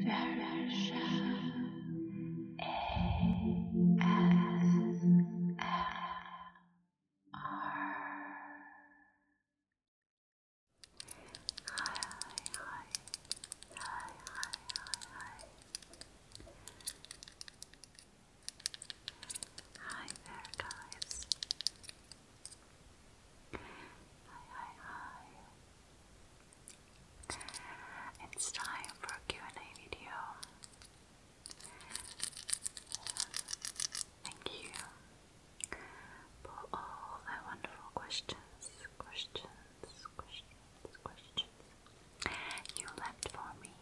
Version Hi there, guys. Hi, hi, hi. It's time for a Q&A video. Thank you for all the wonderful questions, questions, questions, questions you left for me.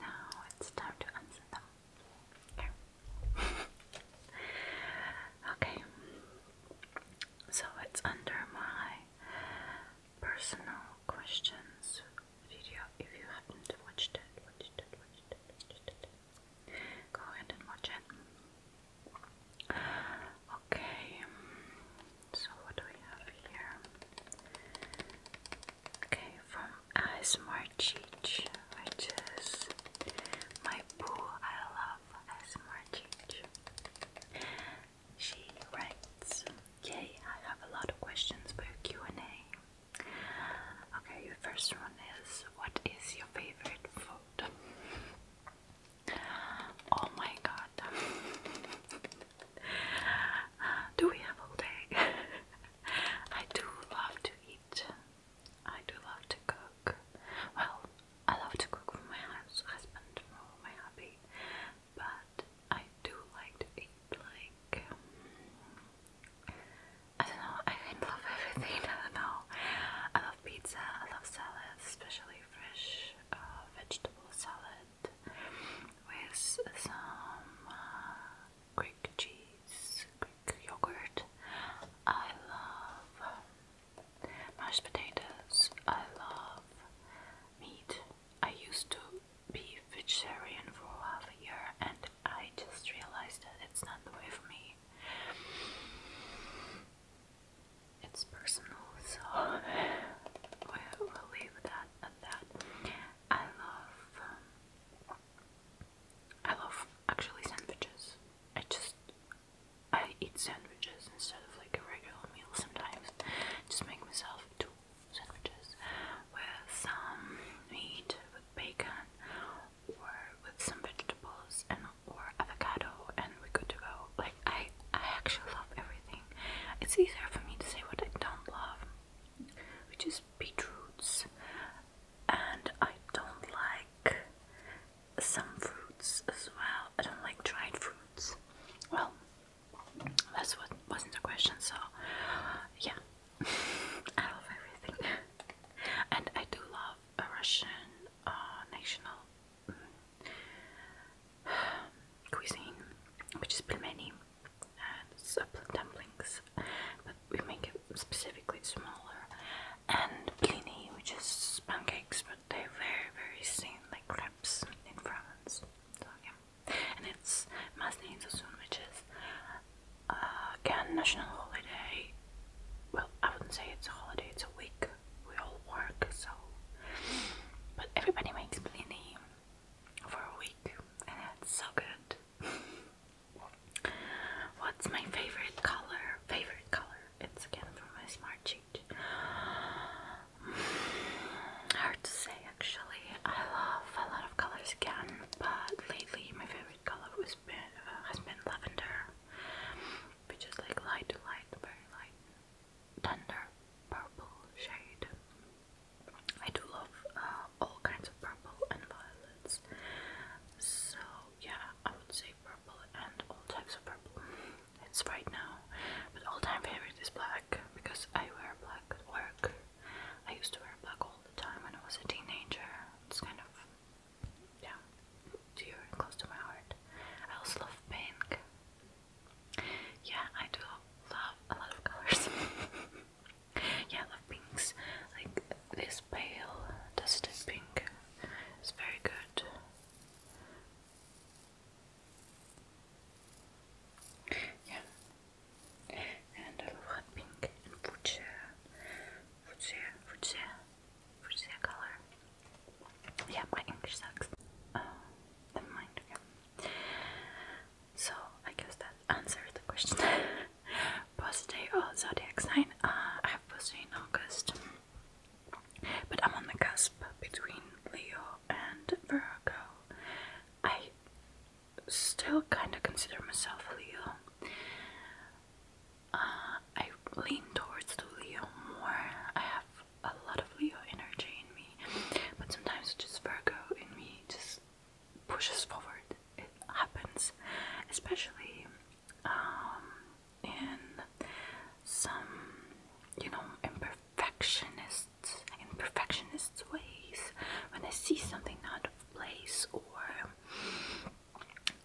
Now it's time to answer them. Okay. So it's under my personal questions video. If you haven't watched it, watched it, watched it, watched it. Go ahead and watch it. Okay. So what do we have here? Okay, from ASMR Marchich, which my boo. I love as Marchich. She writes, "Yay! I have a lot of questions for Q and A. Okay, the first one is, what is your favorite food?" Oh my god. Do we have all day? I do love to eat I do love to cook. Well, I love to cook for my house, husband, for my hubby, but I do like to eat. Like I don't know. I love everything. I don't know. I love pizza. I love salads, especially fresh uh, vegetable salad with some. Uh, Greek cheese, Greek yogurt. I love mashed potatoes. I love meat. I used to be vegetarian for half a year and I just realized that it's not the way for me. It's personal, so we'll leave that at that. I love um, I love actually sandwiches. I just I eat sandwiches instead of like a regular meal sometimes. Just make myself two sandwiches with some meat, with bacon, or with some vegetables and or avocado, and we're good to go. Like I, I actually love everything. It's easier for me to say what I don't love, which is beetroots and I don't like some fruits as well. I don't like dried fruits. Well, that's what wasn't the question, so yeah, I love everything. And I do love a Russian uh, national mm, cuisine, which is pelmeni and supple dumplings, but we make it specifically smaller, and blini, which is pancakes, but they're very, very thin, like crepes in France. So and it's Masni Sassoon, which is uh, again national holiday. Well, I wouldn't say it's a holiday; it's a week. We all work, so but everybody makes blini for a week, and it's so good. What's my favorite color? Favorite color. It's again from my smart sheet. Hard to say actually. I love a lot of colors again, but lately my favorite color has been, uh, lavender, which is like light light, very light, tender purple shade. I do love uh, all kinds of purple and violets, so yeah, I would say purple and all types of purple. It's right now, but all-time favorite is black because I wear black at work. I used to wear black all the time when I was a teenager. It's kind of yeah, dear close to my heart. I also love pink. Yeah, I do love a lot of colors. Yeah, love pinks. Like this pale dusty pink is very good. Yeah. And I love hot pink and fuchsia. Fuchsia, fuchsia, fuchsia color. Yeah, my sucks. Uh, never so I guess that answered the question. Birthday or zodiac sign? Uh, I have birthday in August, but I'm on the cusp between Leo and Virgo. I still kind of consider myself Leo. Uh, I lean towards the Leo more. I have a lot of Leo energy in me, but sometimes just Virgo in me just pushes forward. It happens, especially um, in some, you know, imperfectionists imperfectionists ways. When I see something out of place, or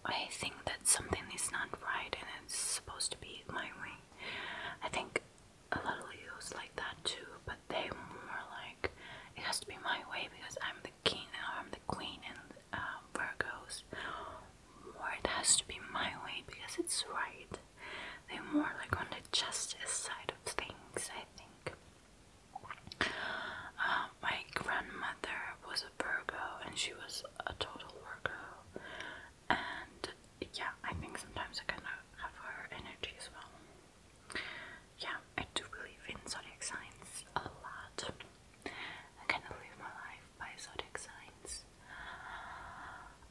I think that something is not right and it's supposed to be my way, I think a little used like that too, but they more like it has to be my way because I'm the king and uh, I'm the queen and um, Virgos. More it has to be my way because it's right. they more like on the justice side of things, I think. Uh, my grandmother was a Virgo and she was a total Virgo, and yeah, I think sometimes I kind of have her energy as well yeah, I do believe in zodiac signs a lot. I kind of live my life by zodiac signs.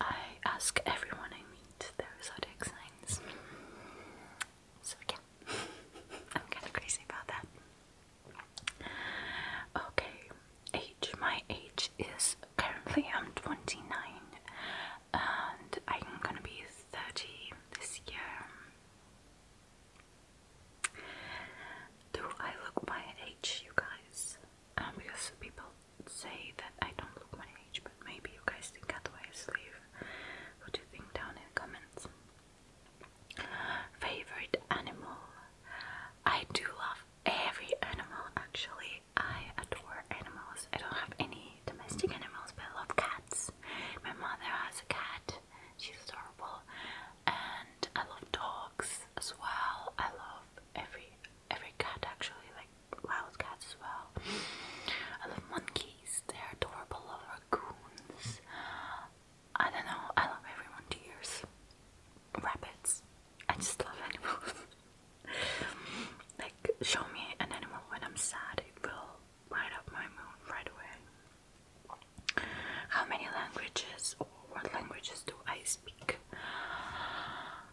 I ask everyone I meet their zodiac signs. So, yeah, I'm kind of crazy about that. Okay, age. My age is currently I'm 29 and I'm gonna be 30 this year. Do I look my age, you guys? Um, because people say that I don't look my age, but maybe you guys think otherwise. Leave what you think down in comments. Favorite animal? I do love every animal actually. I adore animals. I don't have any domestic animals, but I love cats. My mother has a cat, she's adorable, and I love dogs as well. I love every every cat actually, like wild cats as well. I love monkeys, they're adorable. I love raccoons. I don't know, I love everyone to yours. Rabbits. I just love animals. like, show me an animal when I'm sad, it will light up my mood right away. How many languages or what languages do I speak?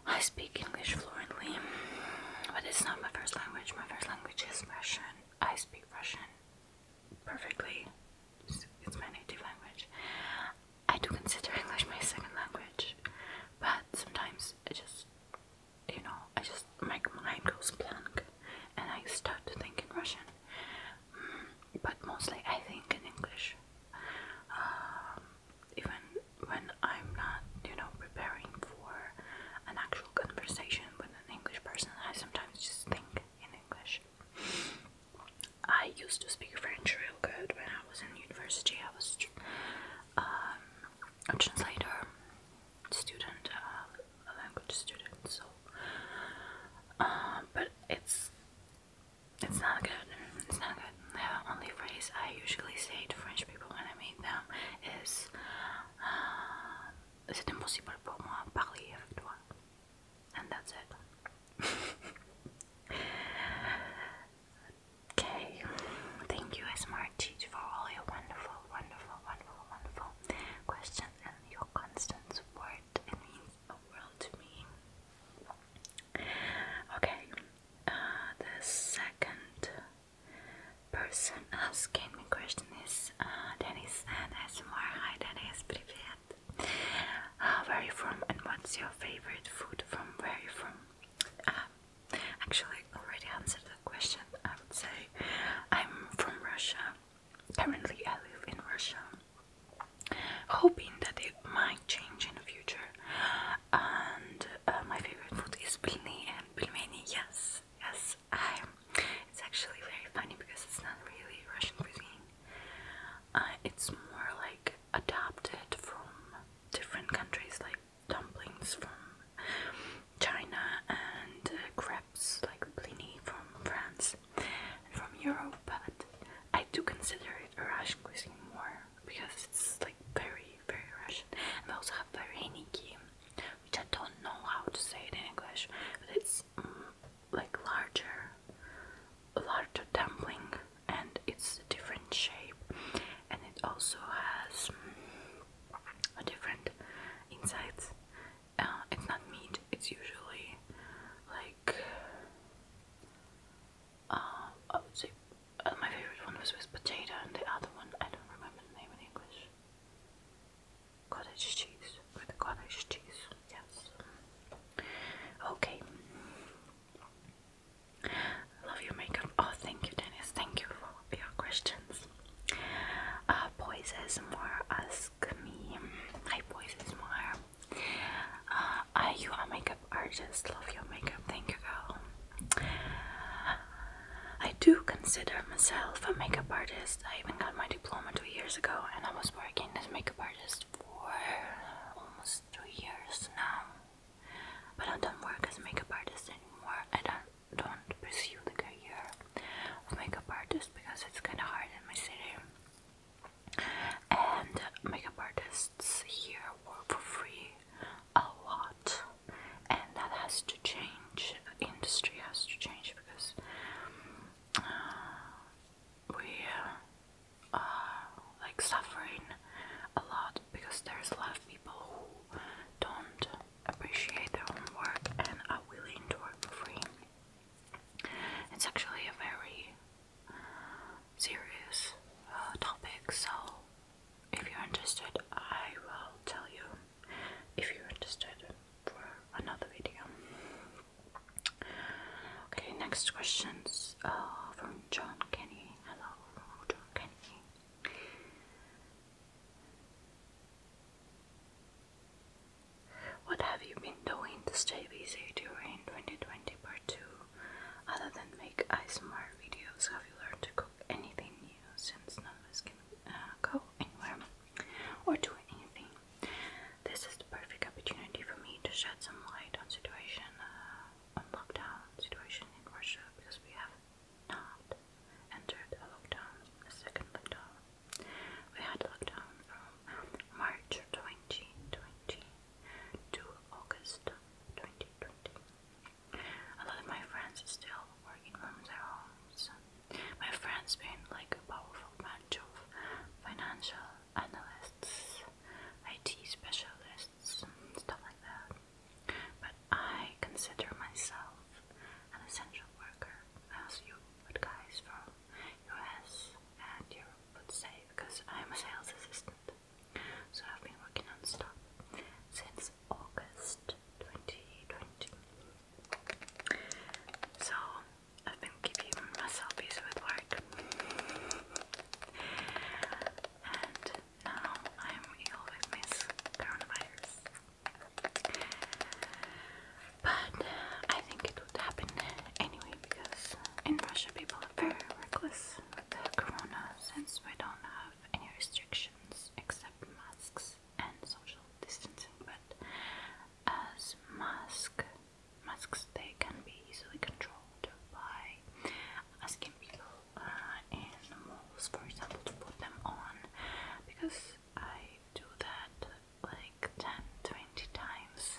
I speak English fluently, but it's not my first language. My first language is Russian. I speak Russian perfectly, it's, my native language. I do consider English my second language, but sometimes I just you know, I just my mind goes blank and I start to think in Russian, but mostly I think in English. Um, even when I'm not, you know, preparing for an actual conversation with an English person, I sometimes just think in English. I used to speak French real good when I was in university. I was um, a translator student, uh, a language student. So, uh, but it's it's not good. It's not good. The only phrase I usually say to French people when I meet them is uh, "C'est impossible pour moi parler avec toi," and that's it. Okay, thank you, SmartTeach, for all your wonderful, wonderful, wonderful, wonderful questions and your constant support. It means a world to me. Okay, uh, the second person asking me question is uh, Dennis and SMR. Hi, Dennis, привет. Uh, where are you from and what's your favorite food? From where are you from? Um, actually, already answered the question. I would say I'm from Russia. Currently, I live in Russia, hoping that it might change in the future. And uh, my favorite food is pilni and pilmeni. Yes, yes, It's actually very funny because it's not really Russian cuisine. Uh, it's more like adapted from different countries like dumplings from China and uh, crepes like blini from France and from Europe, but I do consider it a Russian cuisine more because it's like very, very Russian. And we also have very vareniki, which I don't know how to say in English, but it's mm, like larger larger dumpling and it's a different shape and it also has mm, a different insides. Uh, it's not meat, it's usually like uh, I would say uh, my favorite one was with potato and the other one I don't remember the name in English. Cottage cheese with cottage cheese, yes. Okay. Love your makeup. Oh, thank you, Dennis. Thank you for your questions. Uh, Poises more ask me. Hi, Poises more. Uh, you a makeup artist? Love your makeup. Thank you, girl. I do consider myself a makeup artist. I even got my diploma two years ago, and I was working as makeup artist for almost two years now. But I don't work as a makeup artist anymore. I don't, don't pursue the career of makeup artist because it's kind of hard in my city. And makeup artists here work for free a lot, and that has to change. industry has to change because uh, we uh, are like suffering a lot because there's a lot of people who don't appreciate their own work and are willing to work for free. It's actually a very serious uh, topic, so if you're interested, I will tell you if you're interested for another video. Okay, next questions uh, from John Kenny. Hello, John Kenny. What have you been doing to stay busy during 2020 part 2? Other than make ASMR videos, have you learned to cook anything new since none of us uh, can go anywhere or do anything? This is the perfect opportunity for me to shed some light on situation, uh, on lockdown situation in Russia because we have not entered a lockdown, a second lockdown. We had lockdown from March 2020 to August 2020. A lot of my friends still working from their homes. My friends been like a powerful bunch of financial analysts, IT specialists, stuff like that. But I consider myself an essential worker, as you would guys from US and Europe would say, because I'm a sales assistant. So I've been working on stuff since August 2020. So I've been giving myself busy with work. And now I'm ill with this coronavirus. But I think it would happen anyway because in Russia people are very reckless with the corona since we don't have any restrictions except masks and social distancing. But as mask masks they can be easily controlled by asking people uh, for example, to put them on because I do that like 10 20 times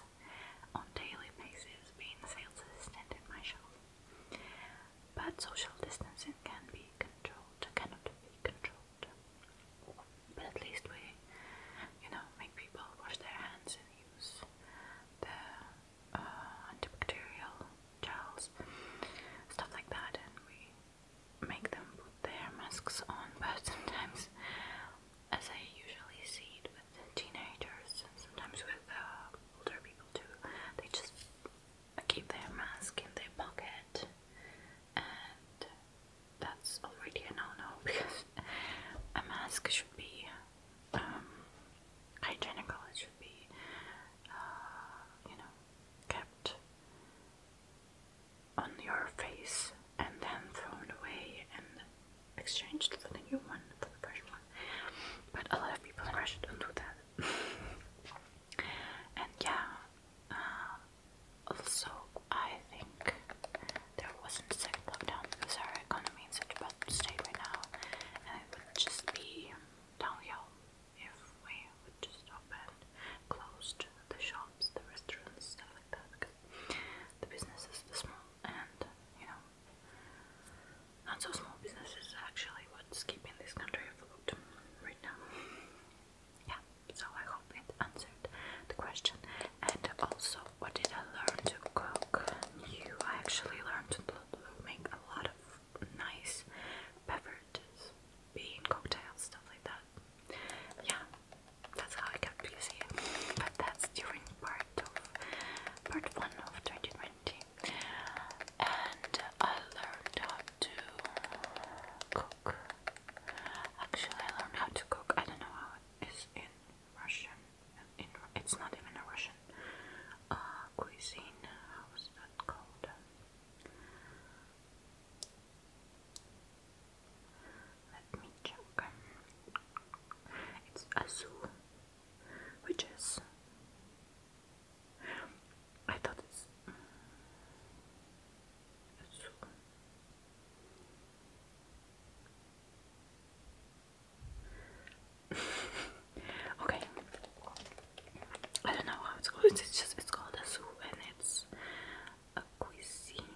on daily basis being a sales assistant in my shop. But social distancing can be controlled, cannot be controlled but at least we, you know, make people wash their hands and use the uh, antibacterial gels, stuff like that, and we make them put their masks on. But sometimes, as I usually see it with teenagers and sometimes with uh, older people too, they just keep their mask in their pocket and that's already a no-no because a mask should be um, hygienical. It should be, uh, you know, kept on your face and then thrown away and exchanged for the new one, for the fresh one. But a lot of people in Russia don't do that. and yeah, um, also, I think there wasn't a second lockdown because our economy is in such a bad state right now, and it would just be downhill if we would just open, closed the shops, the restaurants, stuff like that, because the businesses are small, and you know, not so small businesses actually what's keeping this country afloat right now yeah, so I hope it answered the question. And also, what did I learn to cook? New, I actually learned to make a lot of nice beverages, bean cocktails, stuff like that. Yeah, that's how I got busy. But that's during part of part one of 2020, and I learned how to cook. Actually, I learned how to cook. I don't know how it is in Russian. it's not even a Russian uh, cuisine. How is that called? Let me check. It's azul, which is I thought it's okay. I don't know how it's called. It's just it's called a zoo and it's a cuisine.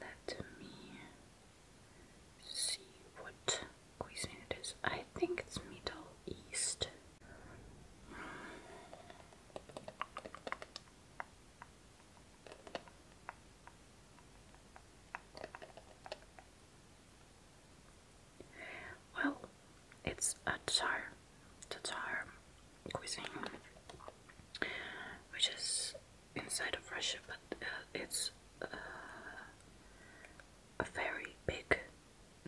Let me see what cuisine it is. I think it's Middle East. Well, it's a Tatar, Tatar cuisine, which is inside of Russia, but uh, it's uh, a very big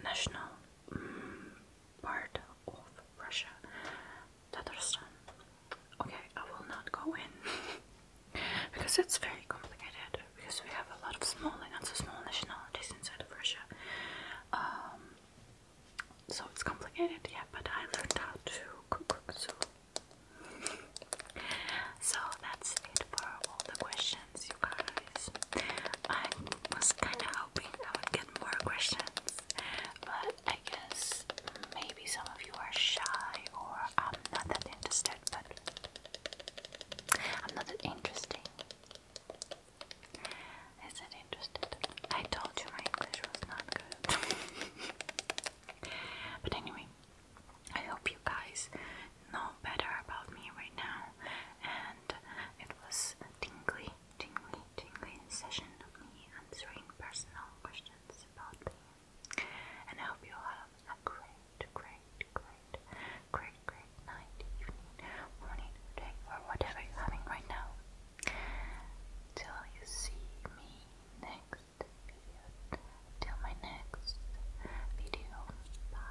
national part of Russia, Tatarstan. Okay, I will not go in because it's very complicated. Because we have a lot of small not so small nationalities inside of Russia. Um, so it's complicated, yeah, but I learned how to cook, so. So that's it for all the questions, you guys. I was kind of hoping I would get more questions, but I guess maybe some of you are shy or I'm not that interested, but I'm not that interesting. Is it interested? I told you my English was not good. but anyway, I hope you guys know better about me right now, and it was tingly tingly, tingly session me answering personal questions about me. And I hope you have a great, great, great, great, great night, evening, morning, day, or whatever you're having right now. Till you see me next video. Till my next video. Bye.